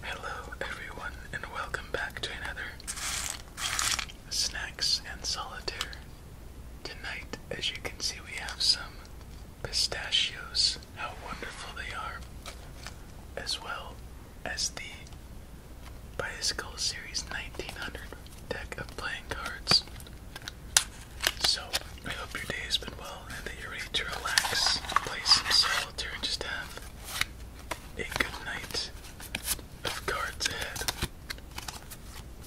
Hello, everyone, and welcome back to another Snacks and Solitaire. Tonight, as you can see, we have some pistachios. How wonderful they are! As well as the Bicycle Series 1900 deck of playing cards. So, I hope your day has been well and that you're ready to relax, play some solitaire, and just have a good night of cards ahead.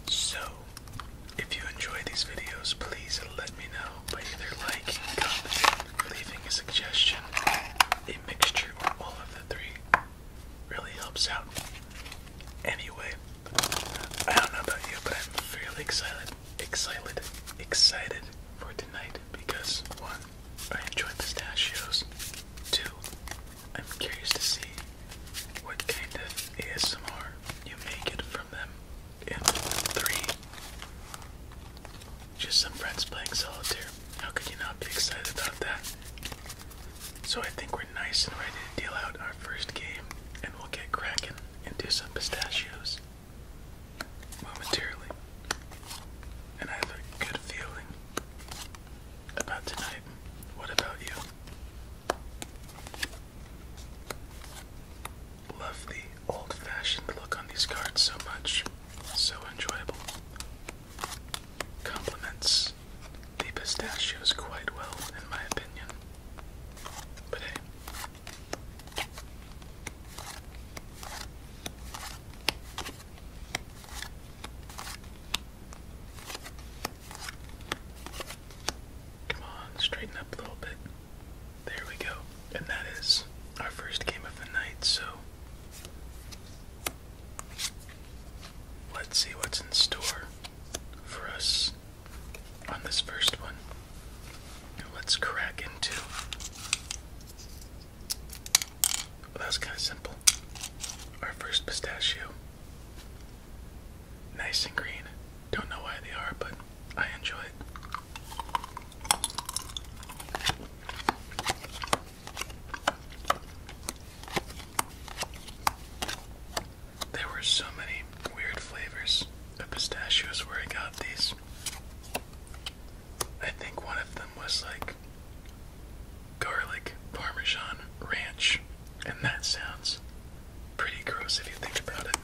So, if you enjoy these videos, please let me know by either liking, commenting, leaving a suggestion, a mixture, or all of the three. Really helps out. Anyway, I don't know about you, but I'm fairly excited excited excited for tonight because one, I enjoy pistachios. Two, I'm curious to see what kind of ASMR you make it from them. And three, just some friends playing solitaire. How could you not be excited about that? So I think we're nice and ready to deal out our first game, and we'll get cracking and do some pistachios momentarily, and I have a good feeling about tonight. What about you? Love the old fashioned look on these cards so much, so enjoyable. Compliments the pistachios quite well, in my opinion. But hey, Come on, straighten up a little bit. There we go. And that is our first game of the night, so let's see what's in store for us on this first one. let's crack into. Well, that was kind of simple. Our first pistachio. Nice and green. Don't know why they are, but I enjoy it. There were so many weird flavors of pistachios where I got these. I think one of them was like garlic parmesan ranch, and that sounds pretty gross if you think about it.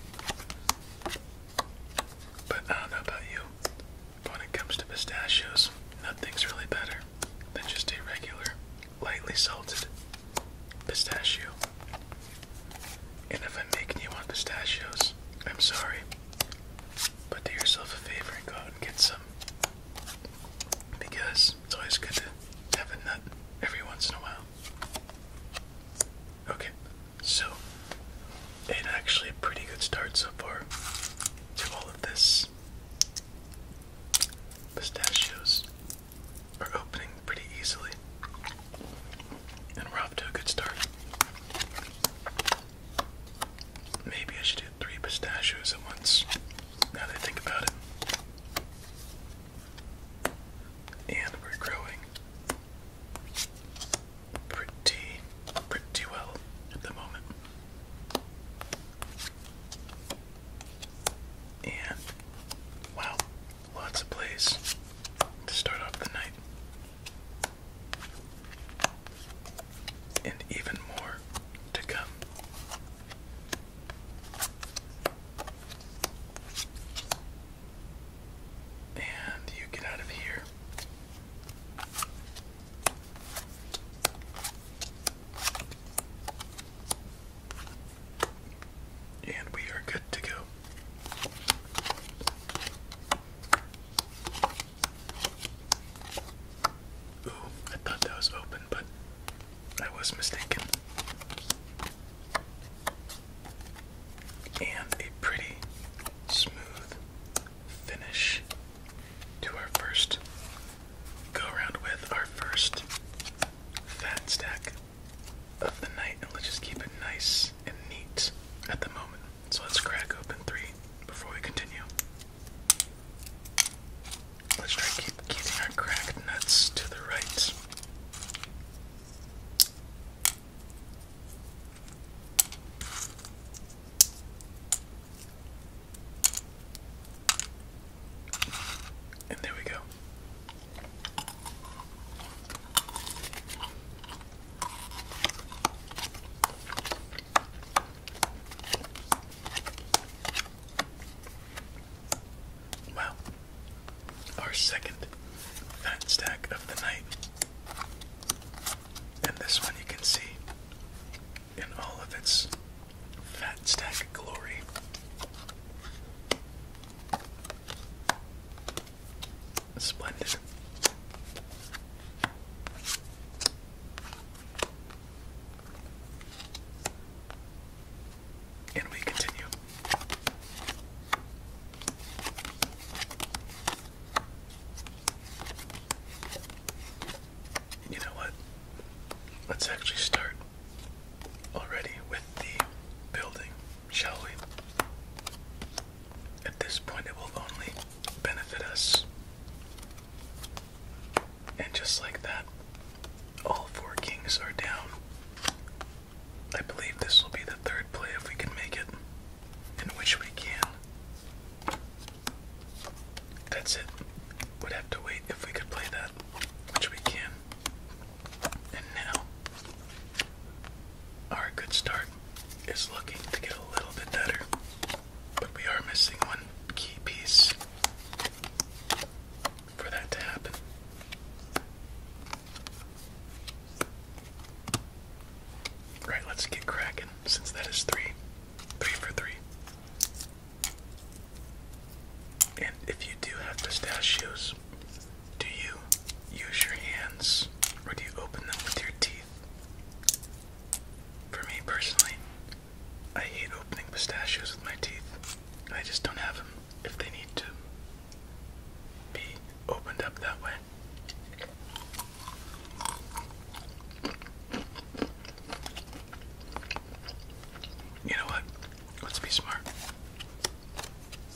But I don't know about you, when it comes to pistachios, nothing's really better than just a regular, lightly salted pistachio. And if I'm making you want pistachios, I'm sorry. But do yourself a favor and go out and get some. Because it's always good to have a nut every once in a while. Okay, so it's actually a pretty good start so far to all of this. Pistachios are opening pretty easily. And we're off to a good start. Maybe I should do three pistachios at once, now that I think about it. And we're growing pretty, pretty well at the moment. And wow, Lots of plays to start off the night. And even more to come. And you get out of here. And we are good to go. Ooh, I thought that was open, but I was mistaken. And a pretty smooth finish to our first go around with our first fat stack of the night, and let's just keep it nice and neat at the moment. So let's crack open three before we continue. Let's try keep keeping our cracked nuts to the right. And there we go. Wow. Our second fat stack of the night. And this one you can see in all of its fat stack glory. Splendid. And we continue. You know what? Let's actually start already with the building, shall we? At this point, it will only benefit us. And just like that, all four kings are down. I believe this will be the third play if we can make it, in which we can. That's it. Would have to wait if we could play that, which we can. And now, our good start is looking to get a little bit better, but we are missing one key piece for that to happen. Right, let's get cracking since that is three. Three for three. And if you do have pistachios, do you use your hands or do you open them with your teeth? For me personally, I hate opening pistachios with my teeth. I just don't have them if they need to be opened up that way. You know what? Let's be smart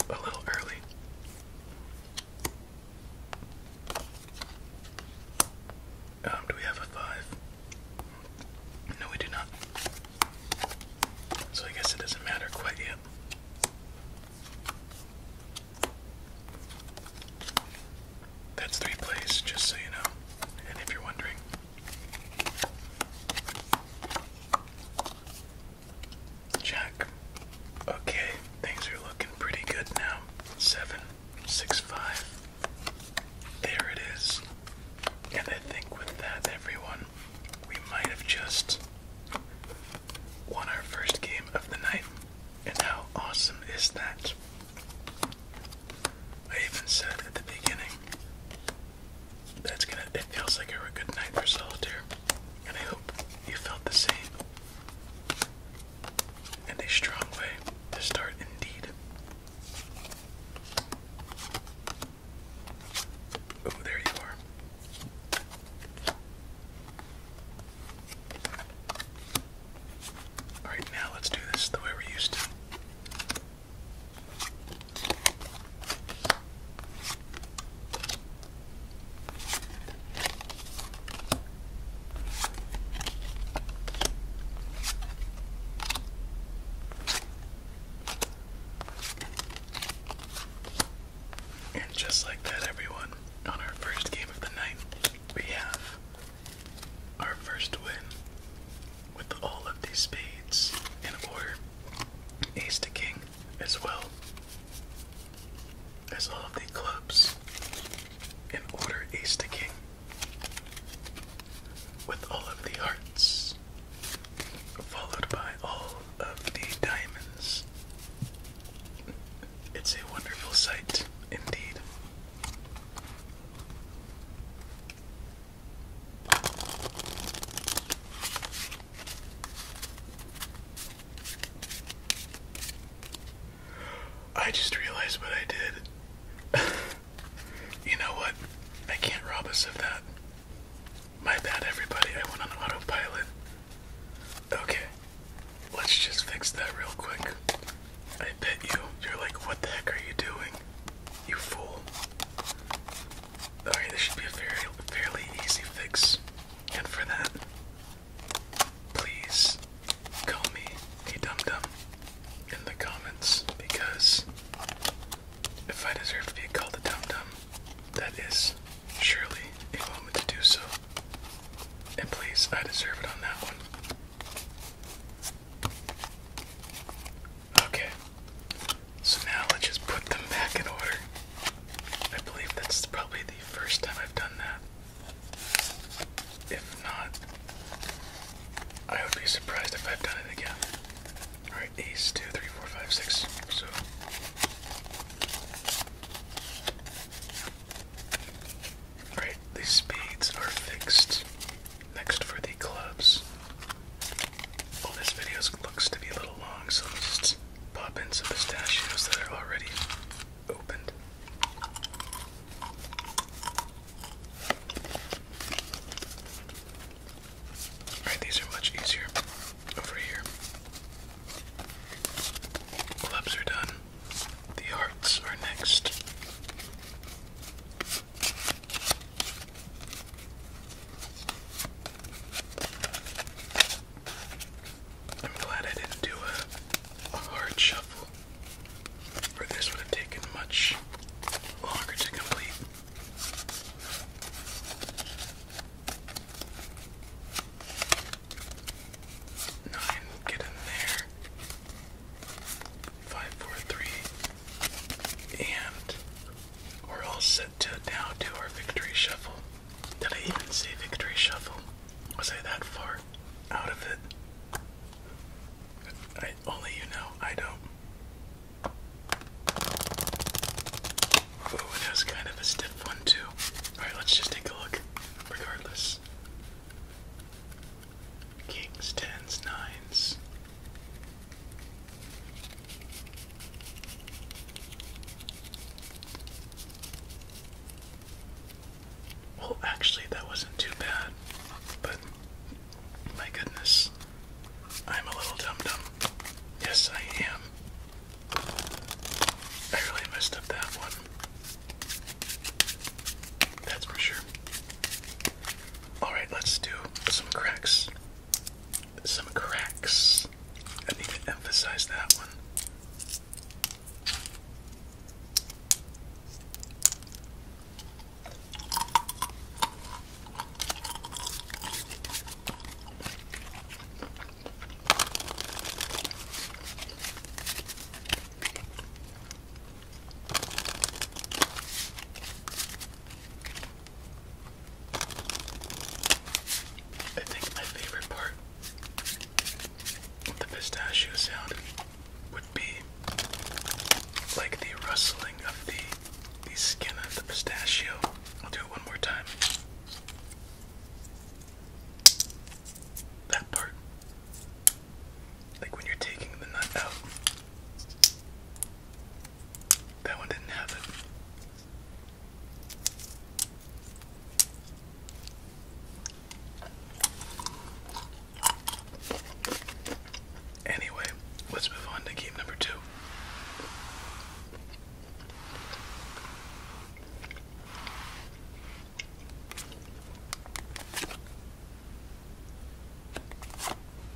a little early. Um, do we have a five? No, we do not. So I guess it doesn't matter quite yet. That's three plays, just so you know. And if you're wondering, Jack. Okay, things are looking pretty good now. Seven, six, five. There it is. And I think with that, everyone, we might have just won our first game of the night. And how awesome is that? I even said at the beginning that's gonna it feels like a good night for solitaire and I hope you felt the same and a strong way to start indeed oh there you are all right now let's do this the way we're used to and just like that, everyone, on our first game of the night, we have our first win with all of these spades in order ace to king as well as all of the clubs in order ace to king with all of the hearts followed by all of the diamonds it's a wonderful sight indeed I just realized what I did. you know what? I can't rob us of that. My bad, everybody. I went on autopilot. Okay, let's just fix that real quick. I bet you, you're like, what the heck are you doing? You fool. Alright, this should be a very, fairly easy fix. And for that, please call me a dum dum in the comments because if I deserve to be called a dum dum, that is surely a moment to do so. And please, I deserve it on that one. Okay. So now let's just put them back in order. I believe that's probably the first time I've done that. If not, I would be surprised if I've done it again. Alright, ace, two, three, four, five, six. So. Alright, these spades are fixed. Next for the clubs. All this video looks to be a little long, so i us just pop in some pistachios that are already opened. Alright, these are much easier over here. Clubs are done. The hearts are next. I'm glad I didn't do a, hard shuffle, or this would have taken much longer to complete. Nine, get in there five, four, three, and we're all set to now do our victory shuffle. Did I even say victory shuffle? Was I that far out of it? only you know, I don't. Ooh, that was kind of a stiff one too. Alright, let's just take a look, regardless. Kings, tens, nines, well, actually, that wasn't too bad, but my goodness, I'm a little dum dum. Yes, I am. I really messed up that one. That's for sure. All right, let's do some cracks. Some cracks. I need to emphasize that one. I think my favorite part of the pistachio sound would be like the rustling of the the skin of the pistachio. I'll do it one more time. That part. Like when you're taking the nut out. That one didn't have it. Anyway, let's move on to game number two.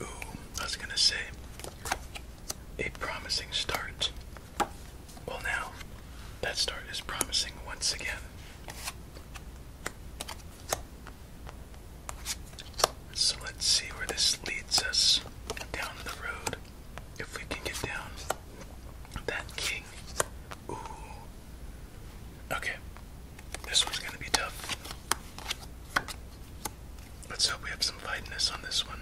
Ooh, I was gonna say a promising start. Well, now that start is promising once again. So let's see where this leads us down the road. If we can get down that king. Ooh. Okay. This one's gonna be tough. Let's hope we have some lightness on this one.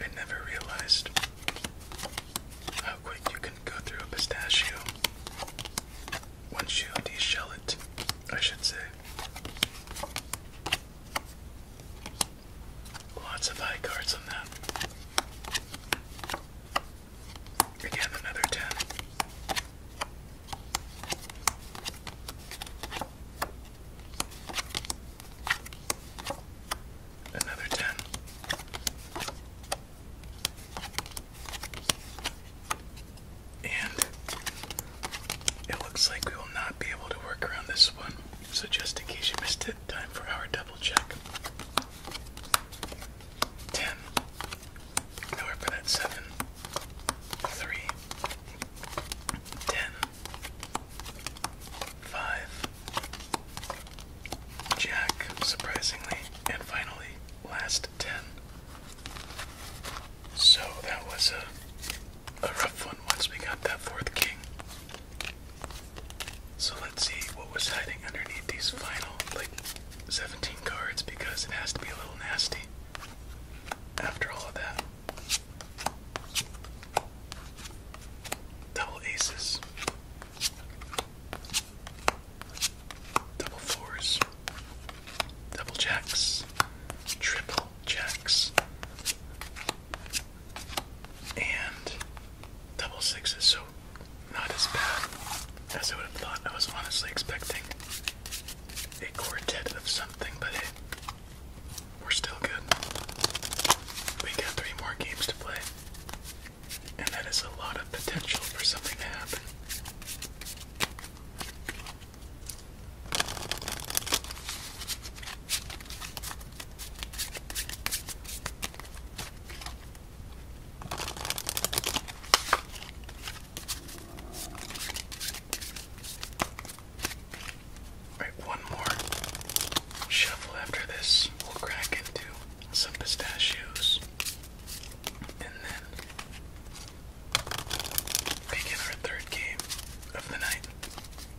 I never realized how quick you can go through a pistachio once you deshell it, I should say. Lots of high cards on that. Again, another 10. Another 10. And it looks like we will not be able to work around this one. So, just in case you missed it, time for our double check. 10. Nowhere for that 7. 3. 10. 5. Jack, surprisingly. And finally, last 10. So that was a a rough one once we got that fourth king. So let's see what was hiding underneath these final, like, 17 cards because it has to be a little nasty after all of that. Double aces, double fours, double jacks, triple jacks, and double six is so not as bad as I would have thought. I was honestly expecting a quartet of something, but hey, we're still good. We got three more games to play, and that is a lot of potential for something to happen. Alright, one more shuffle after this. We'll crack into some pistachios and then begin our third game of the night.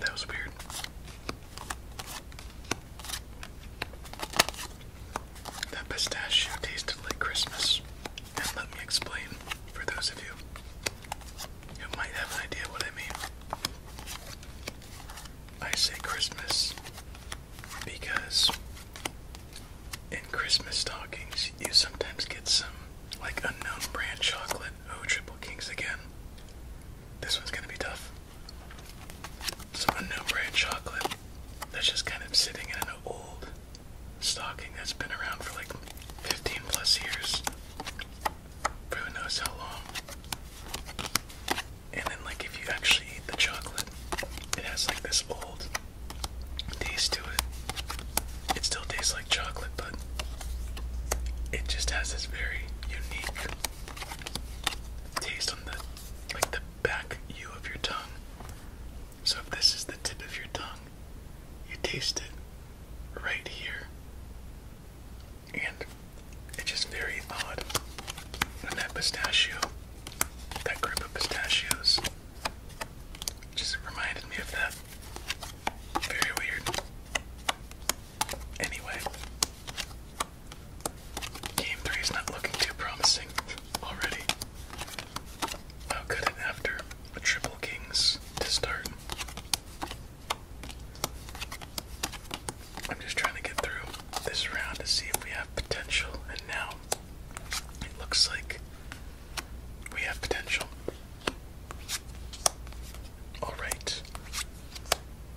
That was weird. That pistachio tasted like Christmas. And let me explain for those of you you might have an idea what I mean. I say Christmas because in Christmas stockings you sometimes get some like unknown brand chocolate. Oh, Triple Kings again. This one's gonna be tough. Some unknown brand chocolate that's just kind of sitting in an old stocking that's been around for like 15 plus years who knows how long. And then, like, if you actually eat the chocolate, it has like this old taste to it. It still tastes like chocolate, but it just has this very unique taste on the like the back U of your tongue. So if this is the tip of your tongue, you taste it right here. And it's just very odd. And that pistachio, that group of pistachios, just reminded me of that. Very weird. Anyway, game three is not looking too promising already. How could it after a triple kings to start? I'm just trying to get through this round to see if we have potential, and now it looks like we have potential. Alright.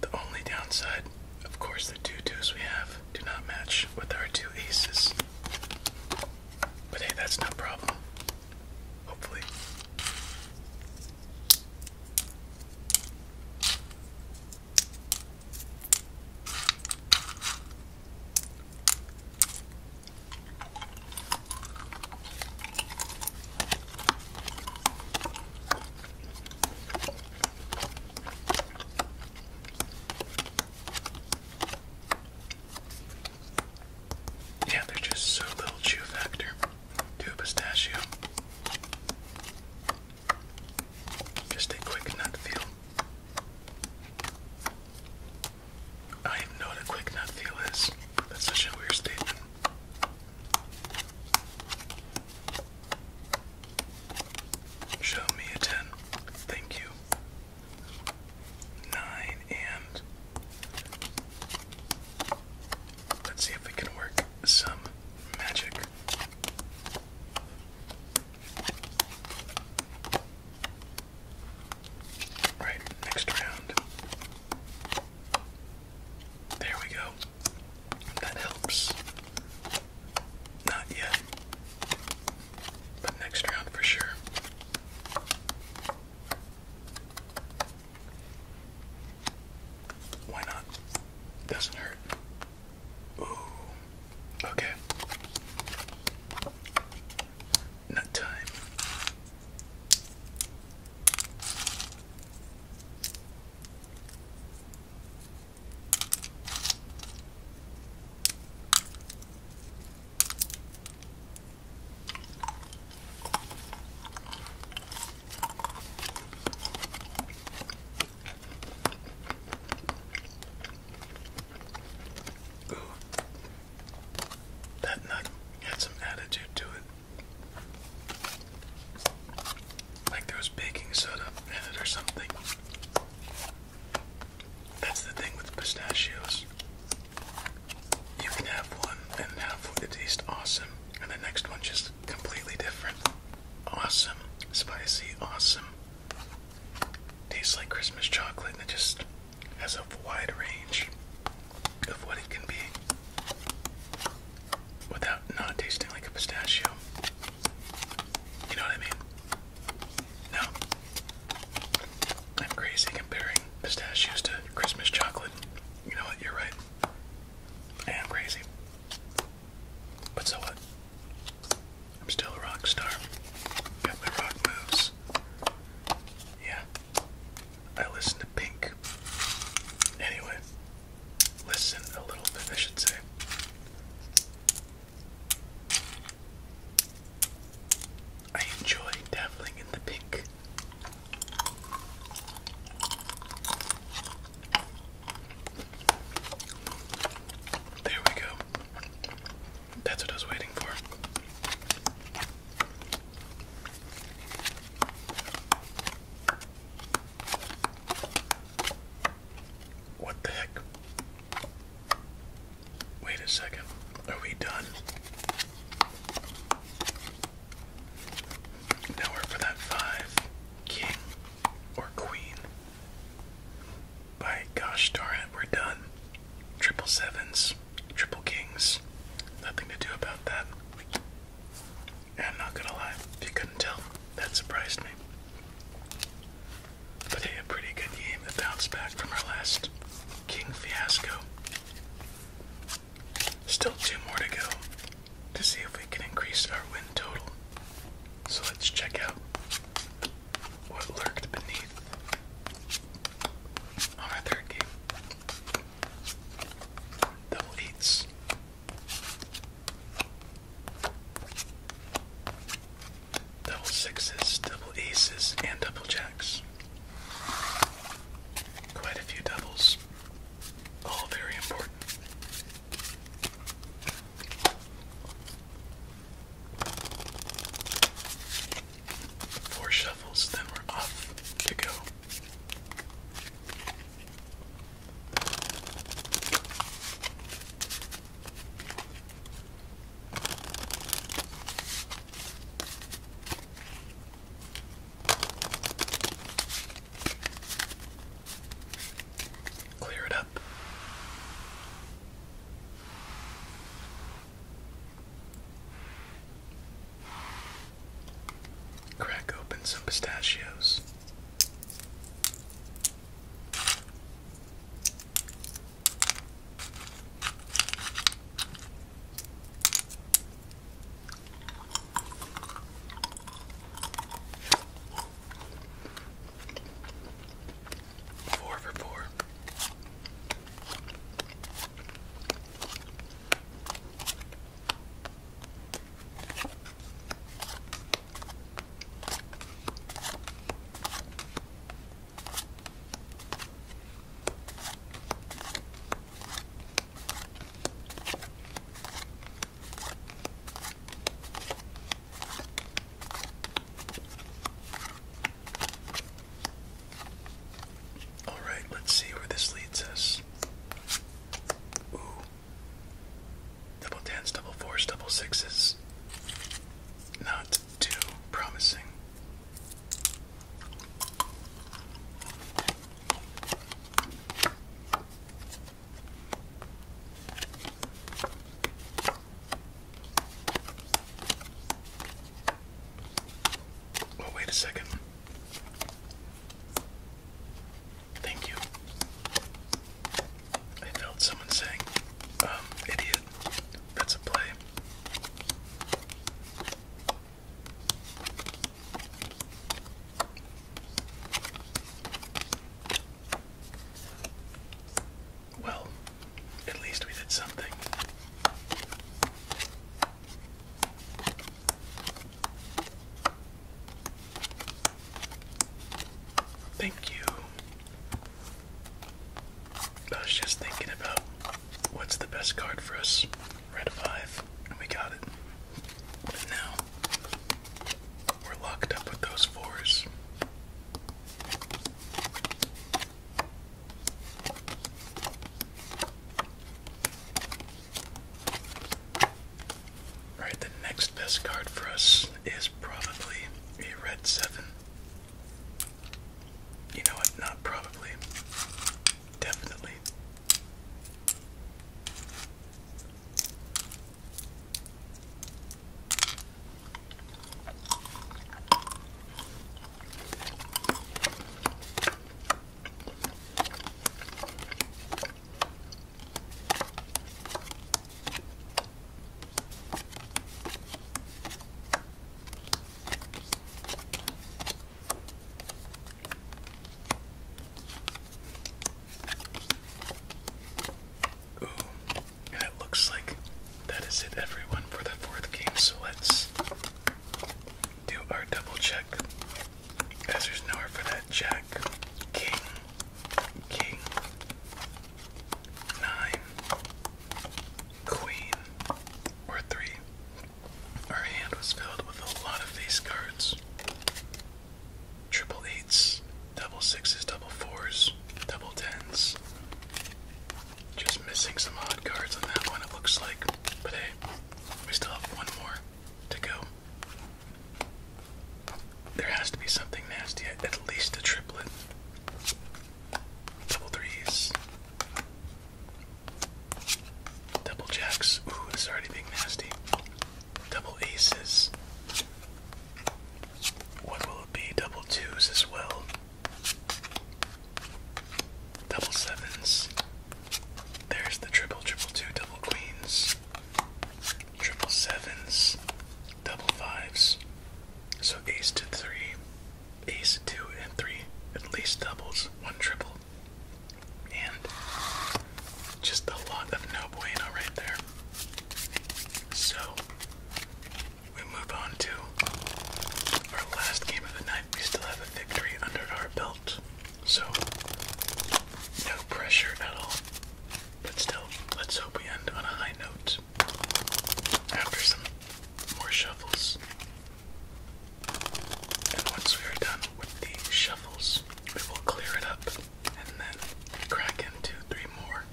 The only downside, of course, the two twos we have do not match with our two aces. But hey, that's no problem. Hopefully. Yeah, they're just so little chew factor to pistachio. Just a quick nut feel. I know what a quick nut feel is. That's a weird statement. Show me a 10. Thank you. 9 and Let's see if we can work some magic. Right, next round. There we go. That helps. Not yet. But next round for sure. Why not? Doesn't hurt. Ooh. Okay. Nut time. Ooh. That nut had some attitude to it. Like there was baking soda in it or something. That's the thing with pistachios you can have one and have it taste awesome, and the next one's just completely different. Awesome, spicy, awesome. Tastes like Christmas chocolate, and it just has a wide range of what it can be without not tasting like a pistachio. You know what I mean? No, I'm crazy comparing pistachios to Christmas chocolate. You know what? You're right. I am crazy. But so what? I'm still a rock star. Got my rock moves. Yeah. I listen to Pink. Anyway, listen a little bit, I should say. I enjoy dabbling in the pink. There we go. That's what I was waiting for. What the heck? Wait a second. Are we done? Now for that five. King or queen. By gosh darn we're done. Triple sevens, triple kings. Nothing to do about that. And not gonna lie, if you couldn't tell, that surprised me. But hey, a pretty good game that bounced back from our last king fiasco. Still two more to go to see if we can increase our win total. So let's check out what lurked beneath on our third game. Double Double sixes, double aces, and double jacks. Quite a few doubles, all very important. Four shuffles, then we're off to go. Clear it up. Crack open some pistachios. Four for four. All right, let's see where this leads us. Ooh. Double tens, double fours, double sixes. Not too promising. Well, oh, wait a second. Thank you. I felt someone saying, um, idiot. That's a play. Well, at least we did something. Thank you I was just thinking about what's the best card for us. Red 5, and we got it. But now we're locked up with those fours. Alright, the next best card for us is probably a red 7. You know what? Not probably. Definitely. Ooh, and it looks like that is it, everyone, for the fourth game. So let's do our double check. there's nowhere for that jack, king, king, nine, queen, or three. Our hand was filled with a lot of face cards. Triple eights, double sixes, double fours, double tens. Just missing some odd cards on that one, it looks like. But hey, we still have one more to go. There has to be something nasty, at least a triplet. Double threes. Double jacks. Ooh, it's already being nasty. Double aces. What will it be? Double twos as well. Double sevens. There's the triple, triple two, double queens. Triple sevens. Double fives. So ace to three ace two and three, at least doubles, one triple. And just a lot of no bueno right there. So we move on to our last game of the night. We still have a victory under our belt. So no pressure at all. But still, let's hope we end on a high note after some more shuffles. And once we are done with the shuffles, we will clear it up and then crack into three more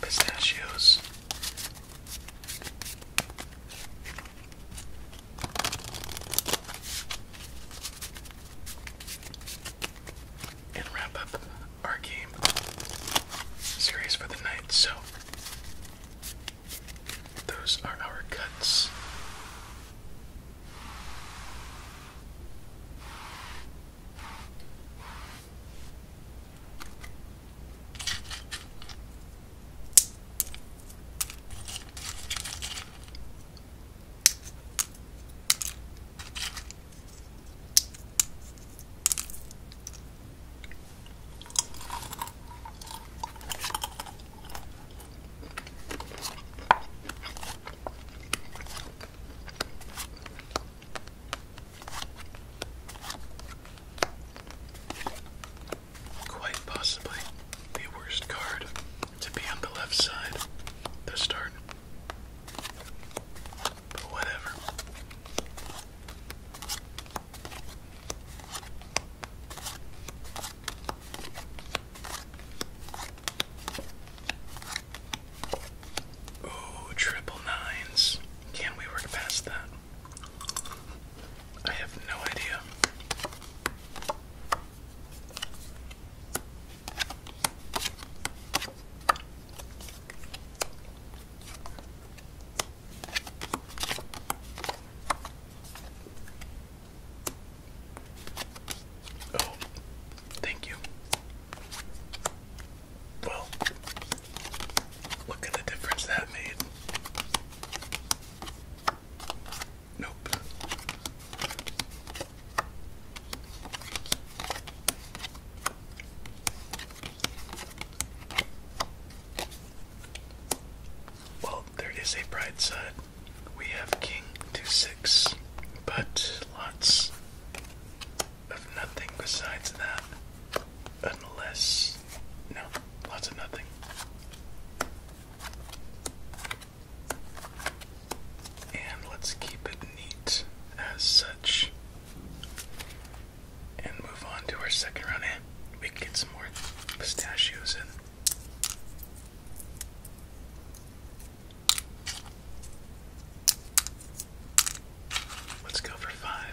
pistachios. And wrap up our game series for the night. So, those are our cuts. Quite possibly the worst card to be on the left side this start. Oh, triple nines. Can we work past that? I have no idea. Oh, thank you. Well, look at the difference that made. Nope. Well, there is a bright side. We have king to six, but lots of nothing besides that. Unless. No, lots of nothing. And let's keep it neat as such and move on to our second round. And we can get some more pistachios in. Let's go for five.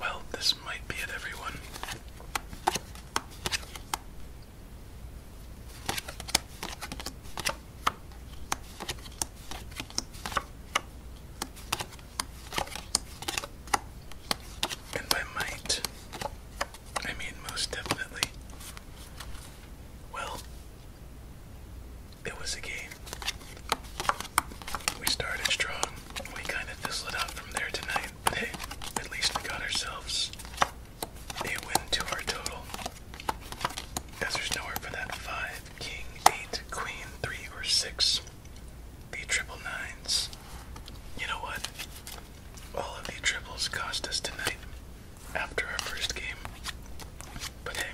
Well, this might be it, everyone. And by might, I mean most definitely. Well, it was a game. We started strong. We kind of fizzled out from there tonight, but hey, at least we got ourselves a win to our total. As there's nowhere for that five, king, eight, queen, three, or six. The triple nines. You know what? All of the triples cost us tonight after our first game. But hey,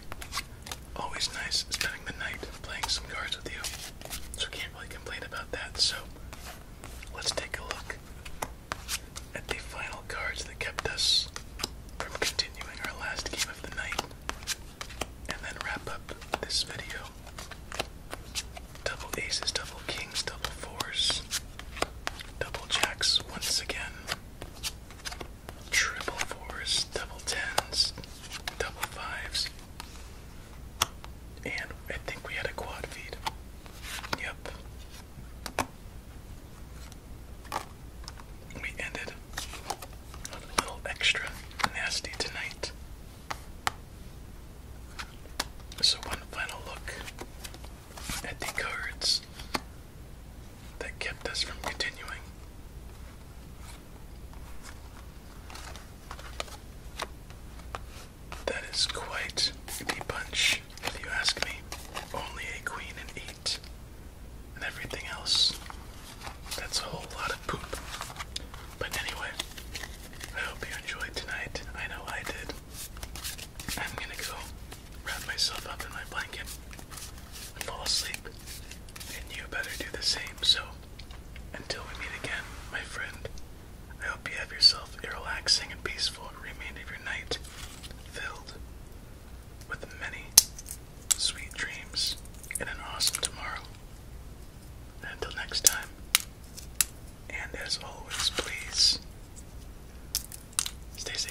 always nice spending the night playing some cards with you. So can't really complain about that. So let's take a look at the final cards that kept us from continuing our last game of the night. And then wrap up this video. Double aces, double kings, double fours, double jacks once again triple fours, double tens, double fives, and I think we had a quad feed. Yep. We ended a little extra nasty tonight. So, one final look at the cards that kept us from continuing. That is quite a bunch, if you ask me. Only a queen and eight, and everything else. That's a whole lot of poop. But anyway, I hope you enjoyed tonight. I know I did. I'm gonna go wrap myself up in my blanket and fall asleep. And you better do the same. So, until we meet again, my friend, I hope you have yourself a relaxing and peaceful remainder of your night filled with many sweet dreams and an awesome tomorrow. until next time, and as always, please Stay safe.